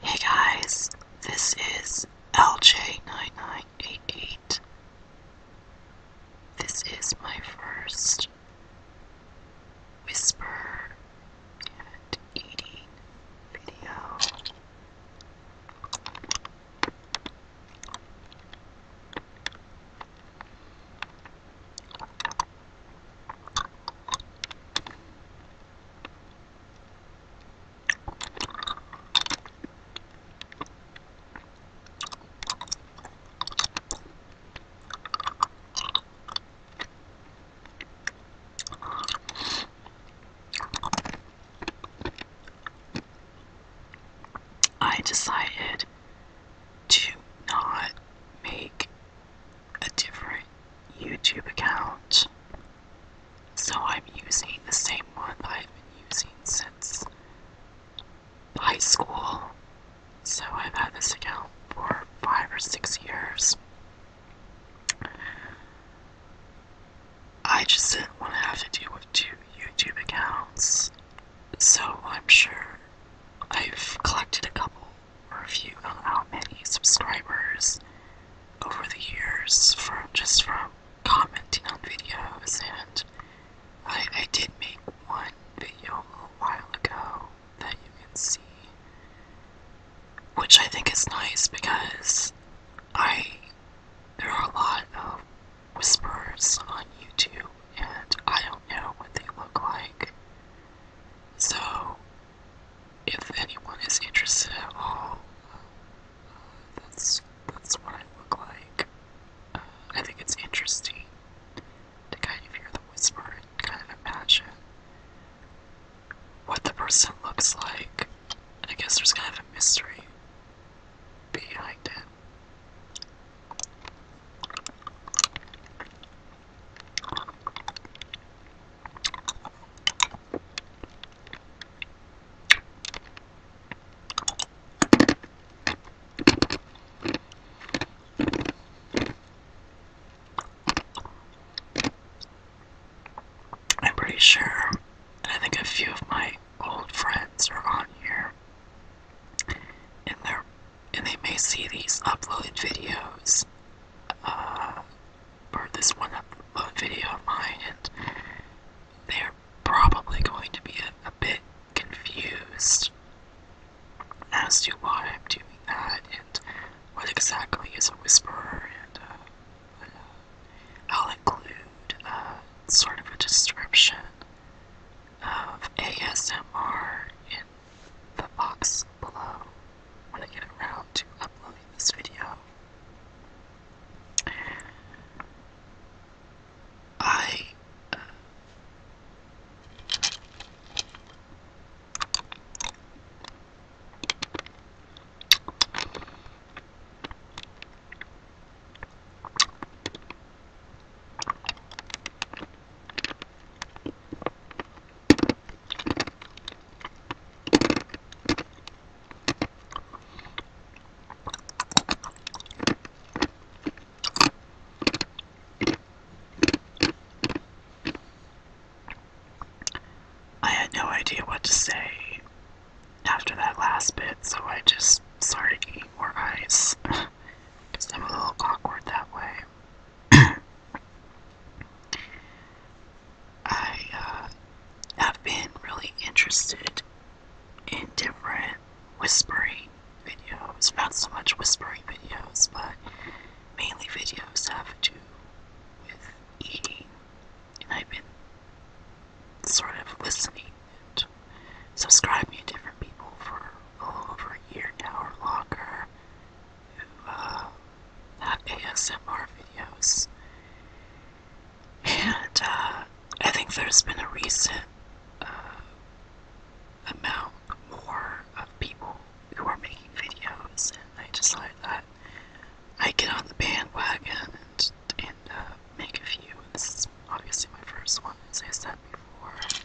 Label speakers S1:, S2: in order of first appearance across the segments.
S1: Hey guys, this is LJ9988. This is my first whisper and eating video. I decided to not make a different YouTube account. So I'm using the same one I've been using since high school. So I've had this account for five or six years. I just didn't want to have to deal with two YouTube accounts. So I'm sure I've collected a couple review on how many subscribers over the years from just from commenting on videos and I, I did make one video a little while ago that you can see which I think is nice because I there are a lot of whispers on YouTube and I don't know what they look like so, if anyone is interested at all, that's that's what I look like. Uh, I think it's interesting to kind of hear the whisper and kind of imagine what the person looks like. And I guess there's kind of a mystery behind it. I'm pretty sure, I think a few of my old friends are on here, and they and they may see these uploaded videos uh, or this one upload video of mine and they're probably going to be a, bit confused as to why I'm doing that and what exactly is a whisperer and uh, uh, I'll include a sort of a description of ASMR the box below when I get around to uploading this video. I uh, I had no idea what to say after that last bit, so I just started eating more ice. because I'm a little awkward that way. I have uh, been really interested in different whispering videos. Not so much whispering videos, but mainly videos have to do with eating. And I've been sort of listening and subscribing to different people for all over here to our locker who uh, have ASMR videos. And uh, I think there's been a recent uh, amount more of people who are making videos, and I just like that I get on the bandwagon and, uh, make a few. this is obviously my first one, as I said before.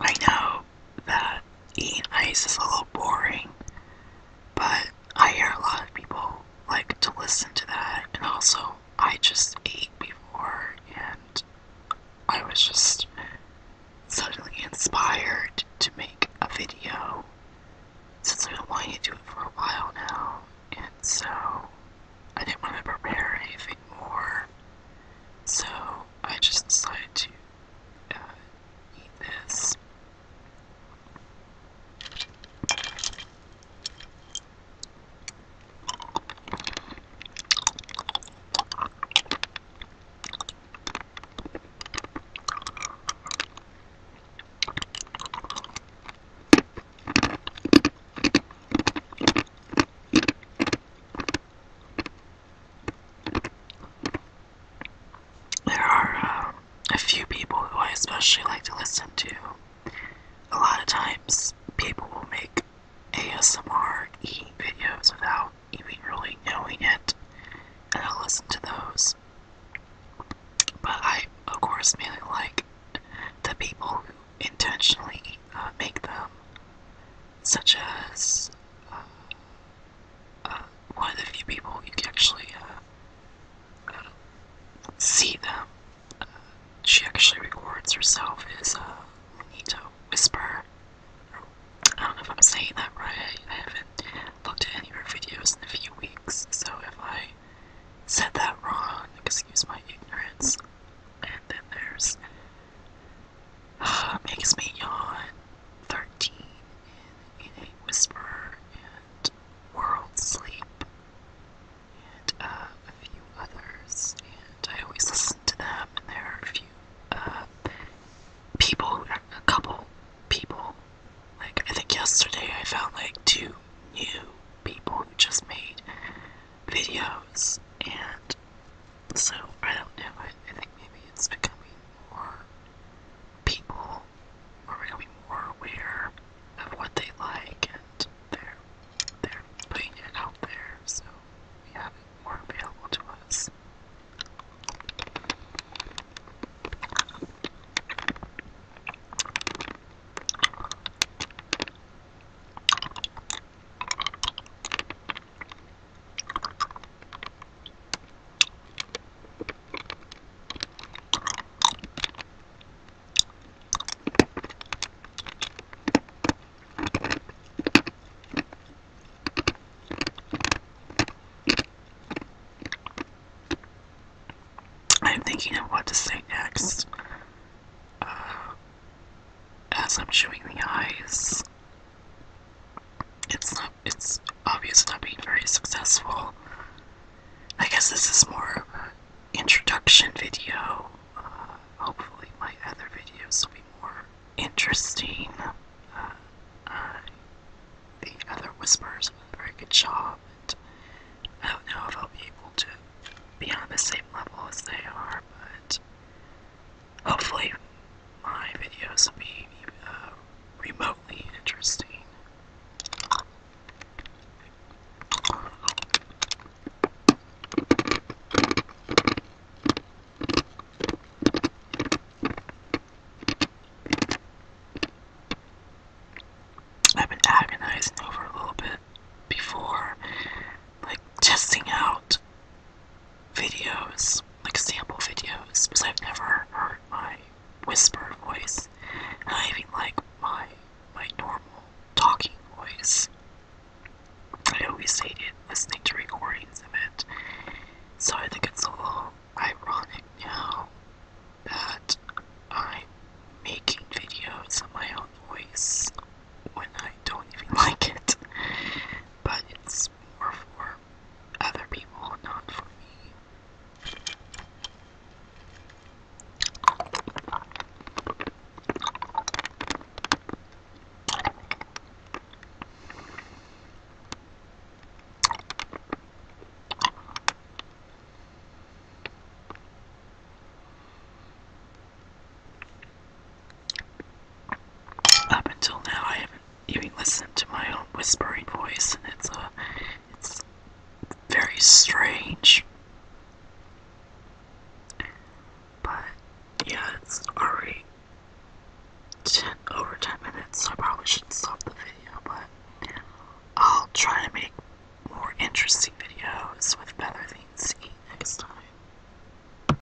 S1: I know that eating ice is a little boring, but I hear a lot of people like to listen to that, and also I just ate before and I was just suddenly inspired to make a video since I've not wanting to do it for a while now, and so I didn't want to prepare anything more, so I just decided to uh, eat this there are uh, a few people who I especially like to listen to. A lot of times, people will make ASMR eating videos without even really knowing it, and I listen to those. But I, of course, mainly like the people who intentionally uh, make them, such as uh, uh, one of the few people you can actually uh, see them. Uh, she actually records herself is a uh, Nito Whisper. I don't know if I'm saying that right. I haven't looked at any of her videos in a few weeks, so if I said that wrong, excuse my ignorance. And then there's Ah, makes Me Yawn, 13, In a Whisper, and World Sleep, and uh, a few others. And I always listen to them, and there are a few uh, people, a couple people. Like, I think yesterday I found like two new people who just made videos, and so I don't know. I, I think maybe it's becoming more people are becoming more aware of what they like and they're they're putting it out there so we have it more available to us. I'm thinking of what to say next uh, as I'm chewing the ice. It's not. It's obvious not being very successful. I guess this is more of an introduction video. Uh, hopefully, my other videos will be more interesting. Uh, the other whispers did a very good job. And I don't know if I'll be able to be on the same level as they are, but Hopefully, my videos will be uh, remotely interesting. I've been agonizing over a little bit before, like testing out videos, like sample videos, because I've never heard my whisper voice, I even like my my normal talking voice. I always hated listening to recordings of it, so I think it's all ironic now that I'm making videos of my own voice when I don't even like it but it's more for other people, not for me. Up until now, I haven't even listened to my own whispering voice, and it's a, uh, it's very strange. But yeah, it's already ten over minutes, so I probably should stop the video. But I'll try to make more interesting videos with better things to eat next time.